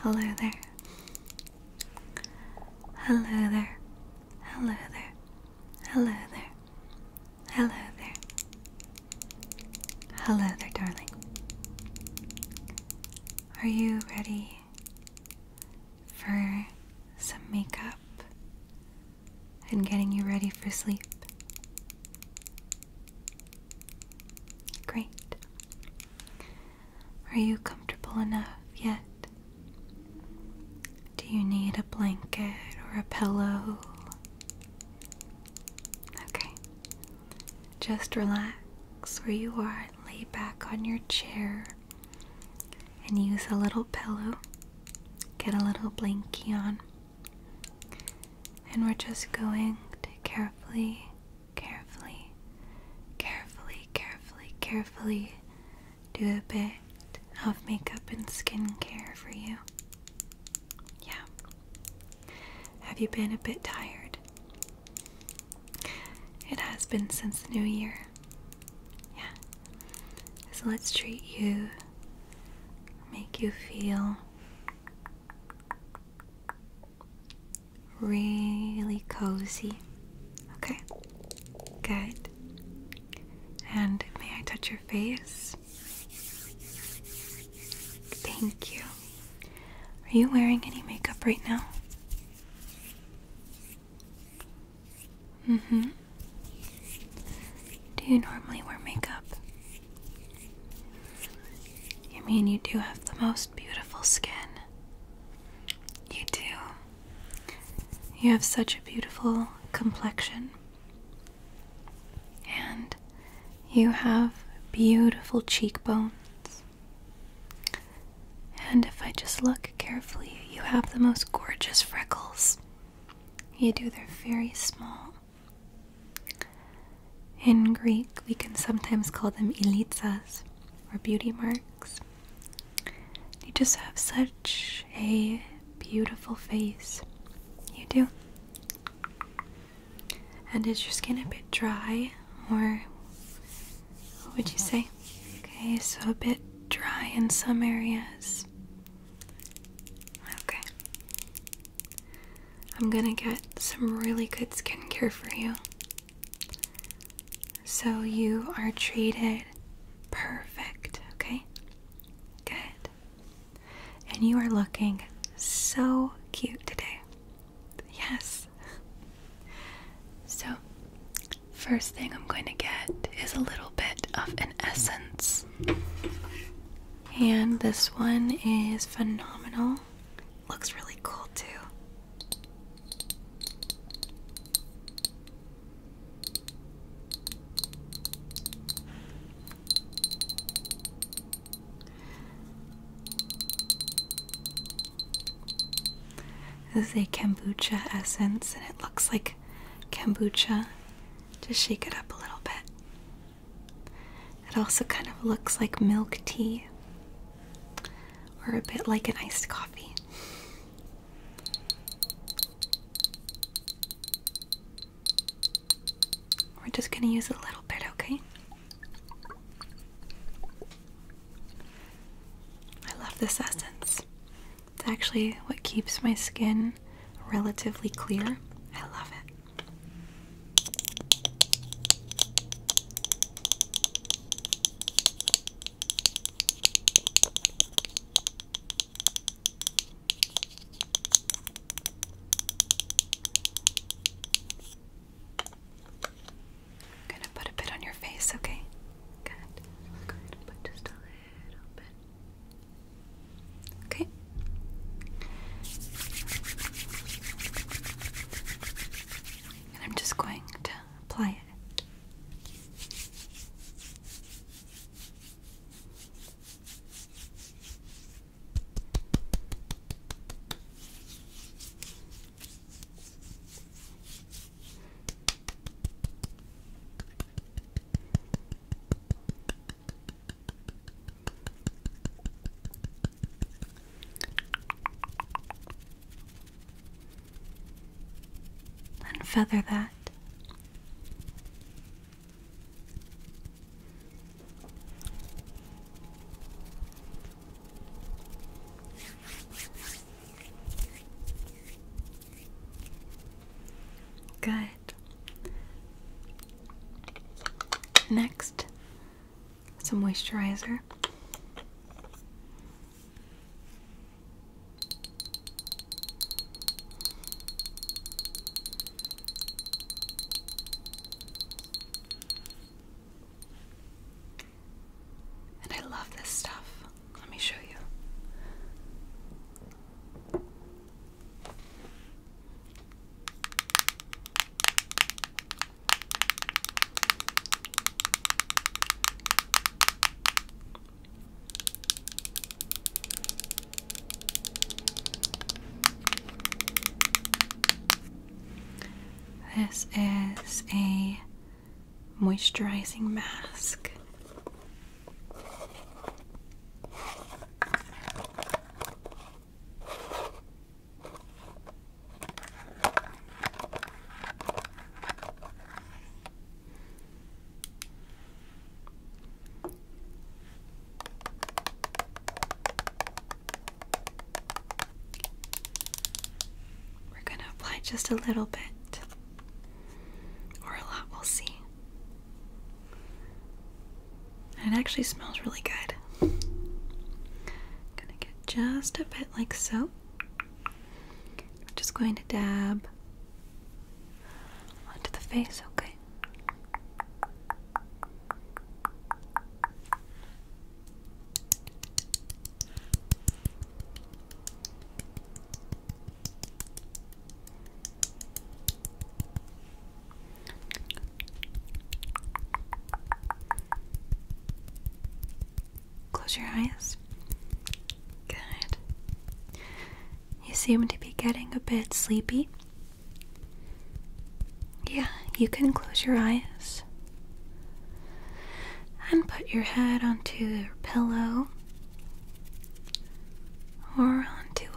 Hello there. Hello there. Hello there. Hello there. Hello there. Hello there, darling. Are you ready for some makeup and getting you ready for sleep? Great. Are you comfortable enough yet? Do you need a blanket or a pillow? Okay. Just relax where you are lay back on your chair and use a little pillow. Get a little blankie on. And we're just going to carefully carefully, carefully, carefully, carefully do a bit of makeup and skincare for you. Yeah. Have you been a bit tired? It has been since the new year. Yeah. So let's treat you, make you feel really cozy. Okay, good. And may I touch your face? Thank you. Are you wearing any makeup right now? Mm hmm. Do you normally wear makeup? You mean you do have the most beautiful skin? You do. You have such a beautiful complexion. And you have beautiful cheekbones. And if I just look carefully, you have the most gorgeous freckles. You do, they're very small. In Greek, we can sometimes call them elitzas or beauty marks. You just have such a beautiful face. You do. And is your skin a bit dry or what would you say? Okay, so a bit dry in some areas. Okay. I'm gonna get some really good skincare for you. So you are treated perfect, okay? Good. And you are looking so cute today. Yes. So, first thing I'm going to get is a little bit of an essence. And this one is phenomenal. Looks really cool too. This is a kombucha essence, and it looks like kombucha. Just shake it up a little bit. It also kind of looks like milk tea, or a bit like an iced coffee. We're just going to use a little bit, okay? I love this essence. It's actually what keeps my skin relatively clear. I love it. I'm gonna put a bit on your face, okay? Good. We're going to put just a little bit. Okay. And I'm just going to apply it. Unfeather that. Good it. Next, some moisturizer. And I love this stuff. Let me show you. This is a moisturizing mask. We're going to apply just a little bit or a lot, we'll see. It actually smells really good. gonna get just a bit like so. just going to dab onto the face, okay? Close your eyes. Good. You seem to be getting a bit sleepy. Yeah, you can close your eyes and put your head onto your pillow or onto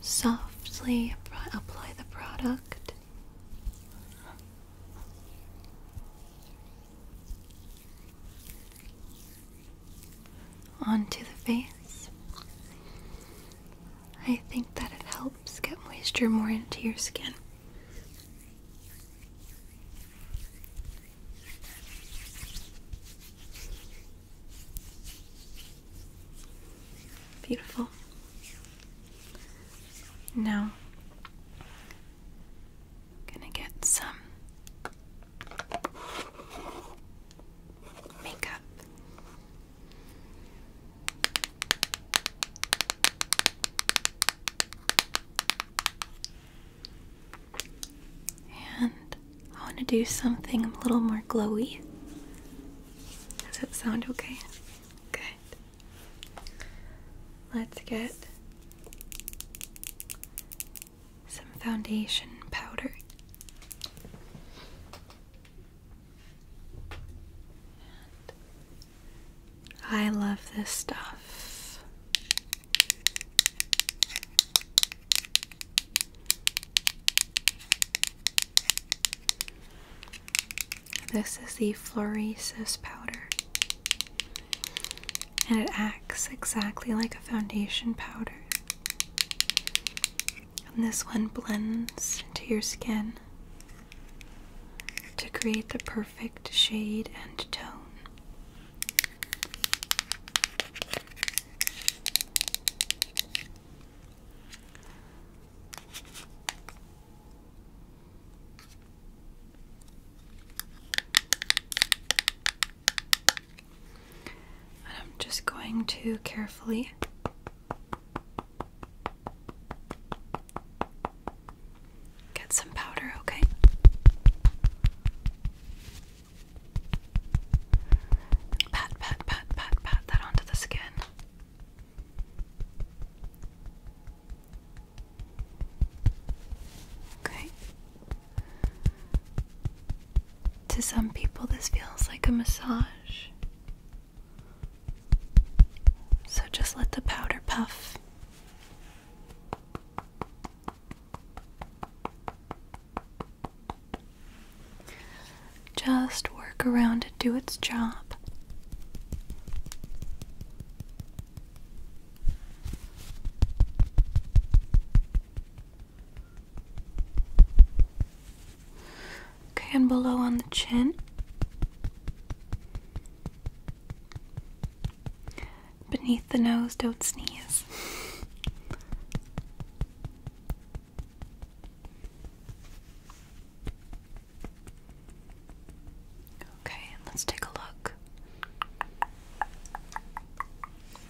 softly apply the product. Onto the face. I think that it helps get moisture more into your skin. Beautiful. Now, gonna get some makeup. And I want to do something a little more glowy. Does that sound okay? Good. Let's get some foundation powder. I love this stuff. This is the Floresis powder, and it acts exactly like a foundation powder. And this one blends into your skin to create the perfect shade and tone. I'm just going to carefully get some powder, okay? Pat, pat, pat, pat, pat that onto the skin. Okay. To some people, this feels like a massage. So just let the powder puff. Just work around and do its job. Okay, and below on the chin. Beneath the nose, don't sneeze. Okay, let's take a look.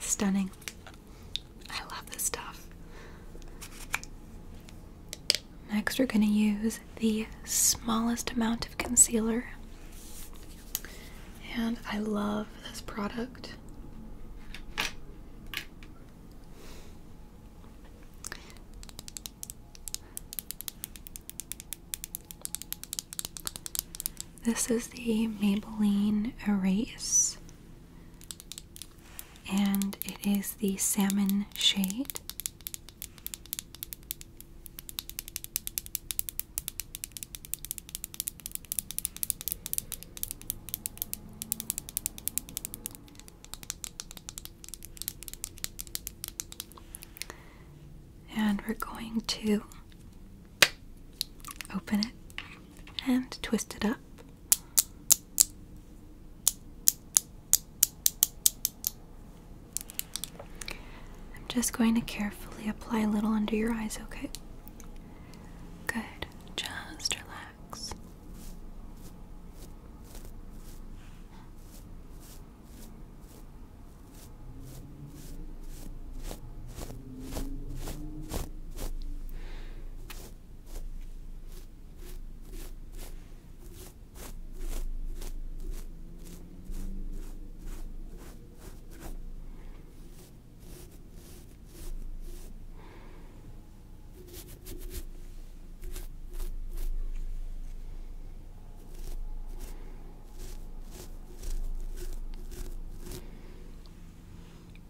Stunning. I love this stuff. Next, we're going to use the smallest amount of concealer. And I love of this product. This is the Maybelline Erase, and it is the salmon shade. And we're going to open it and twist it up. I'm just going to carefully apply a little under your eyes, okay? Good. Just relax.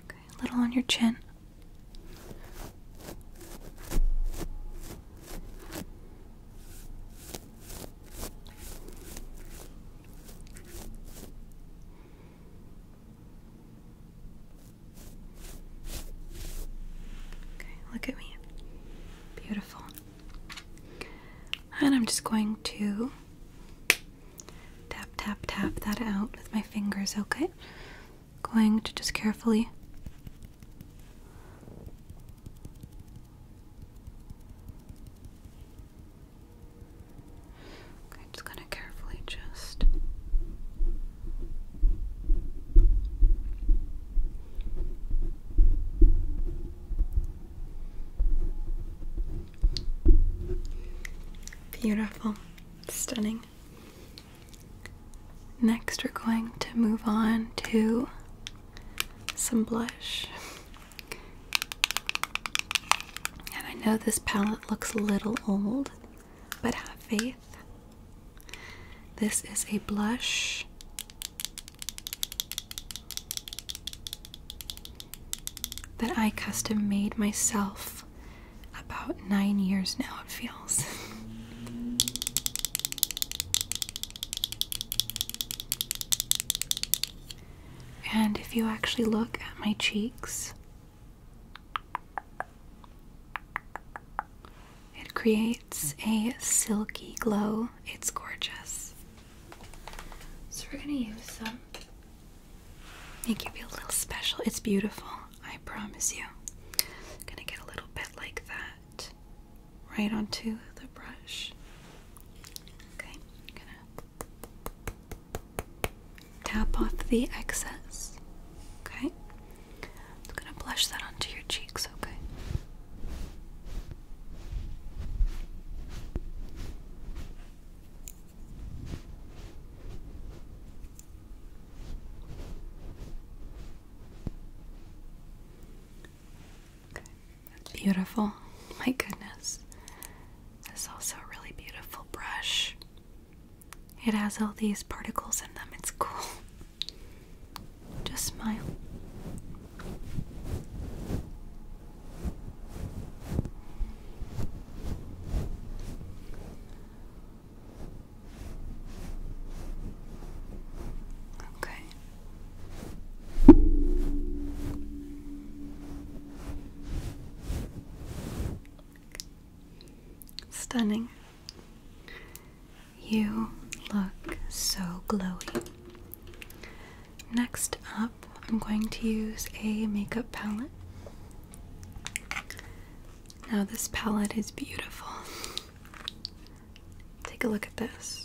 Okay, a little on your chin. Okay, look at me. Beautiful. And I'm just going to tap, tap, tap that out with my fingers, okay? Going to just carefully. I'm just gonna carefully just Beautiful, stunning. Next, we're going to move on to some blush. And I know this palette looks a little old, but have faith. This is a blush. That I custom made myself about nine years now, it feels. And if you actually look at my cheeks, it creates a silky glow. It's gorgeous. So we're gonna use some. Make you a little special. It's beautiful, I promise you. I'm gonna get a little bit like that right onto the brush. Okay, Tap off the excess. Okay? I'm gonna blush that onto your cheeks, okay? Okay. Beautiful. My goodness. This is also a really beautiful brush. It has all these particles in them. It's cool. Just smile. Okay. Stunning. You look so glowy. Next up, I'm going to use a makeup palette. Now, this palette is beautiful. Take a look at this.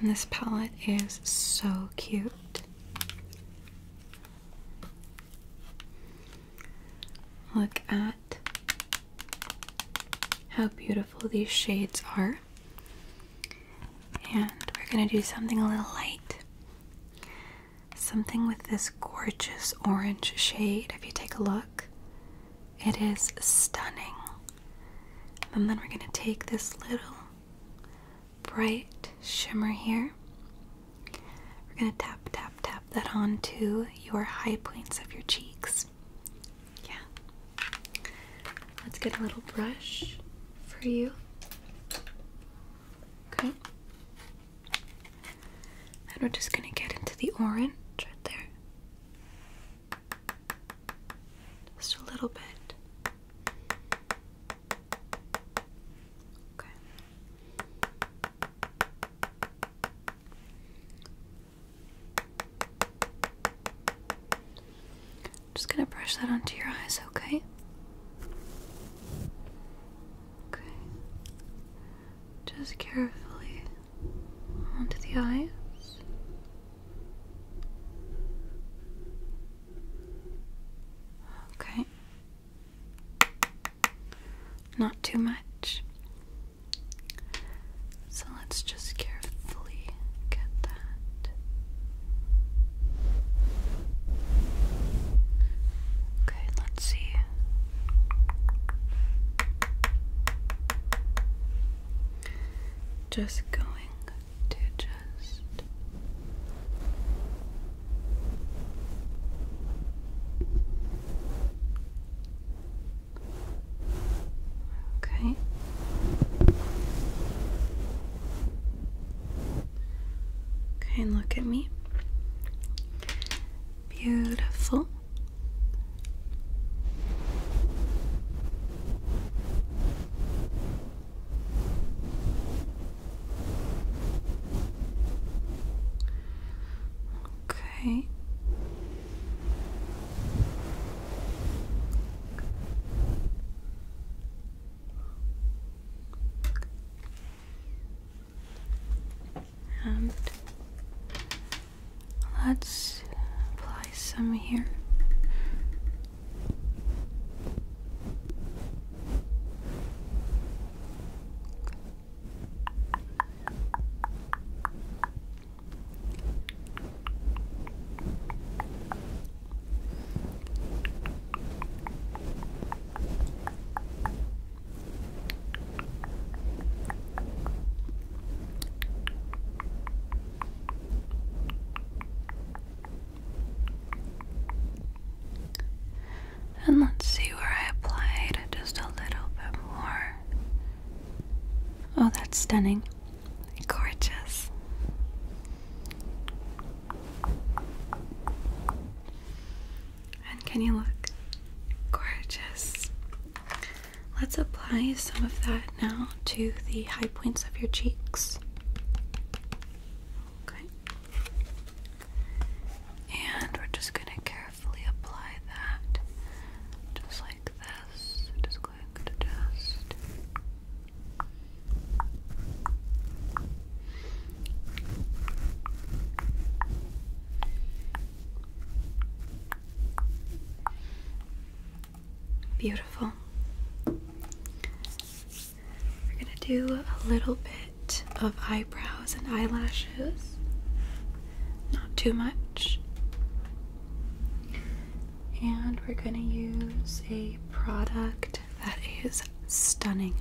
And this palette is so cute. Look at how beautiful these shades are. And we're going to do something a little light. Something with this gorgeous orange shade. If you take a look. It is stunning. And then we're going to take this little bright shimmer here. We're going to tap, tap, tap that onto your high points of your cheeks. Yeah. Let's get a little brush for you. Okay. And we're just going to get into the orange right there. Just a little bit. Okay. just going to brush that onto your eyes, okay? Okay just carefully onto the eyes. Okay. Not too much. So let's just carefully get that. Okay, Let's see. Just going to just Okay. Okay, look at me. Beautiful. Okay and let's apply some here. And let's see where I applied just a little bit more. Oh, that's stunning. Gorgeous. And can you look gorgeous? Let's apply some of that now to the high points of your cheeks. Okay. And we're just going to carefully apply that just like this. Just going to just. Beautiful. We're going to do a little bit of eyebrows and eyelashes. Not too much. And we're going to use a product that is stunning.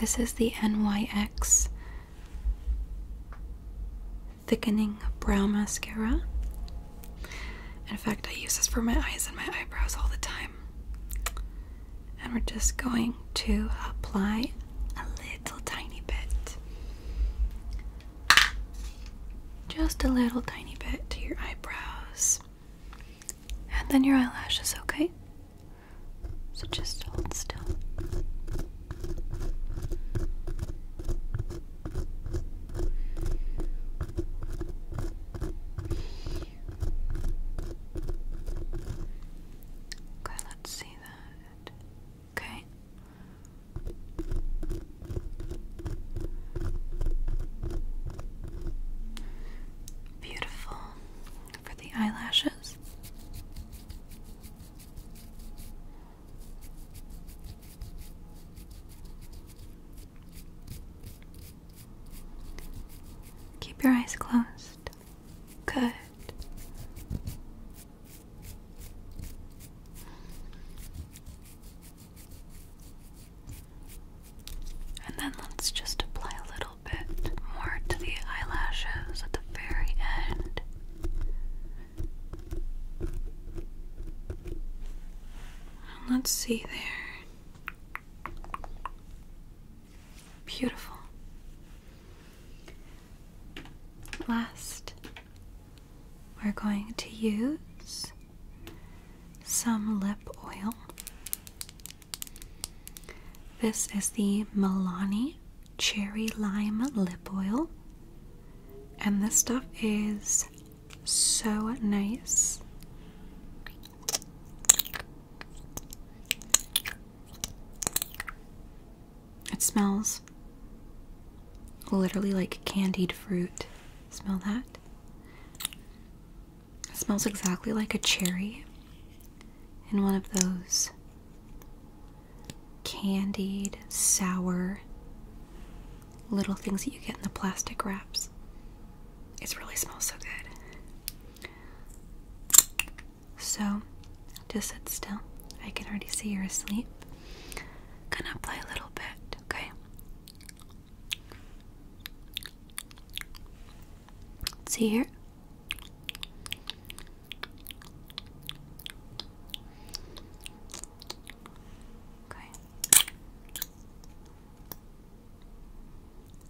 This is the NYX Thickening Brow Mascara. In fact, I use this for my eyes and my eyebrows all the time and we're just going to apply a little tiny bit. Just a little tiny bit to your eyebrows and then your eyelashes, okay? So just hold still. Okay, let's see Okay. Beautiful for the eyelashes. Keep your eyes closed. Good. And then let's just apply a little bit more to the eyelashes at the very end. let's see there. Beautiful. Last, we're going to use some lip oil. This is the Milani Cherry Lime Lip Oil, and this stuff is so nice. It smells literally like candied fruit. Smell that? smells exactly like a cherry in one of those candied, sour little things that you get in the plastic wraps. It really smells so good. So just sit still. I can already see you're asleep. Gonna play a little bit, okay? See here? Okay.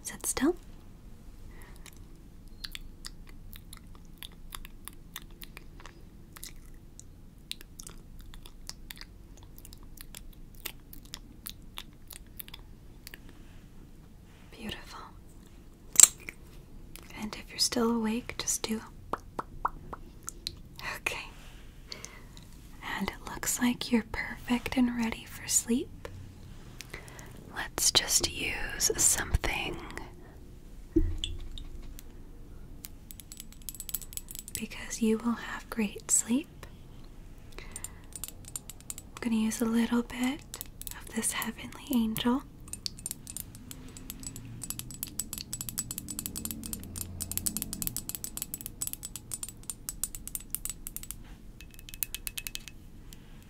Sit still. Beautiful. And if you're still awake, just do. Okay. And it looks like you're perfect and ready for sleep. Let's just use something because you will have great sleep. I'm going to use a little bit of this heavenly angel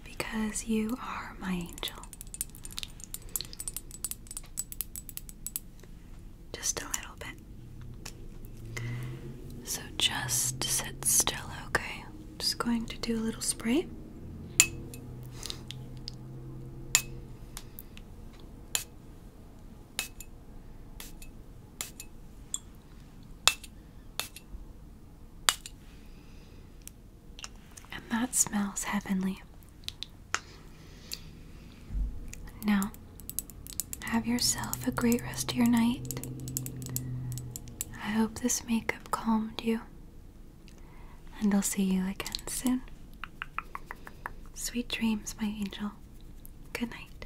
because you are my angel. Just a little bit. So just sit still, okay? Just going to do a little spray. And that smells heavenly. Now, have yourself a great rest of your night. I hope this makeup calmed you. And I'll see you again soon. Sweet dreams, my angel. Good night.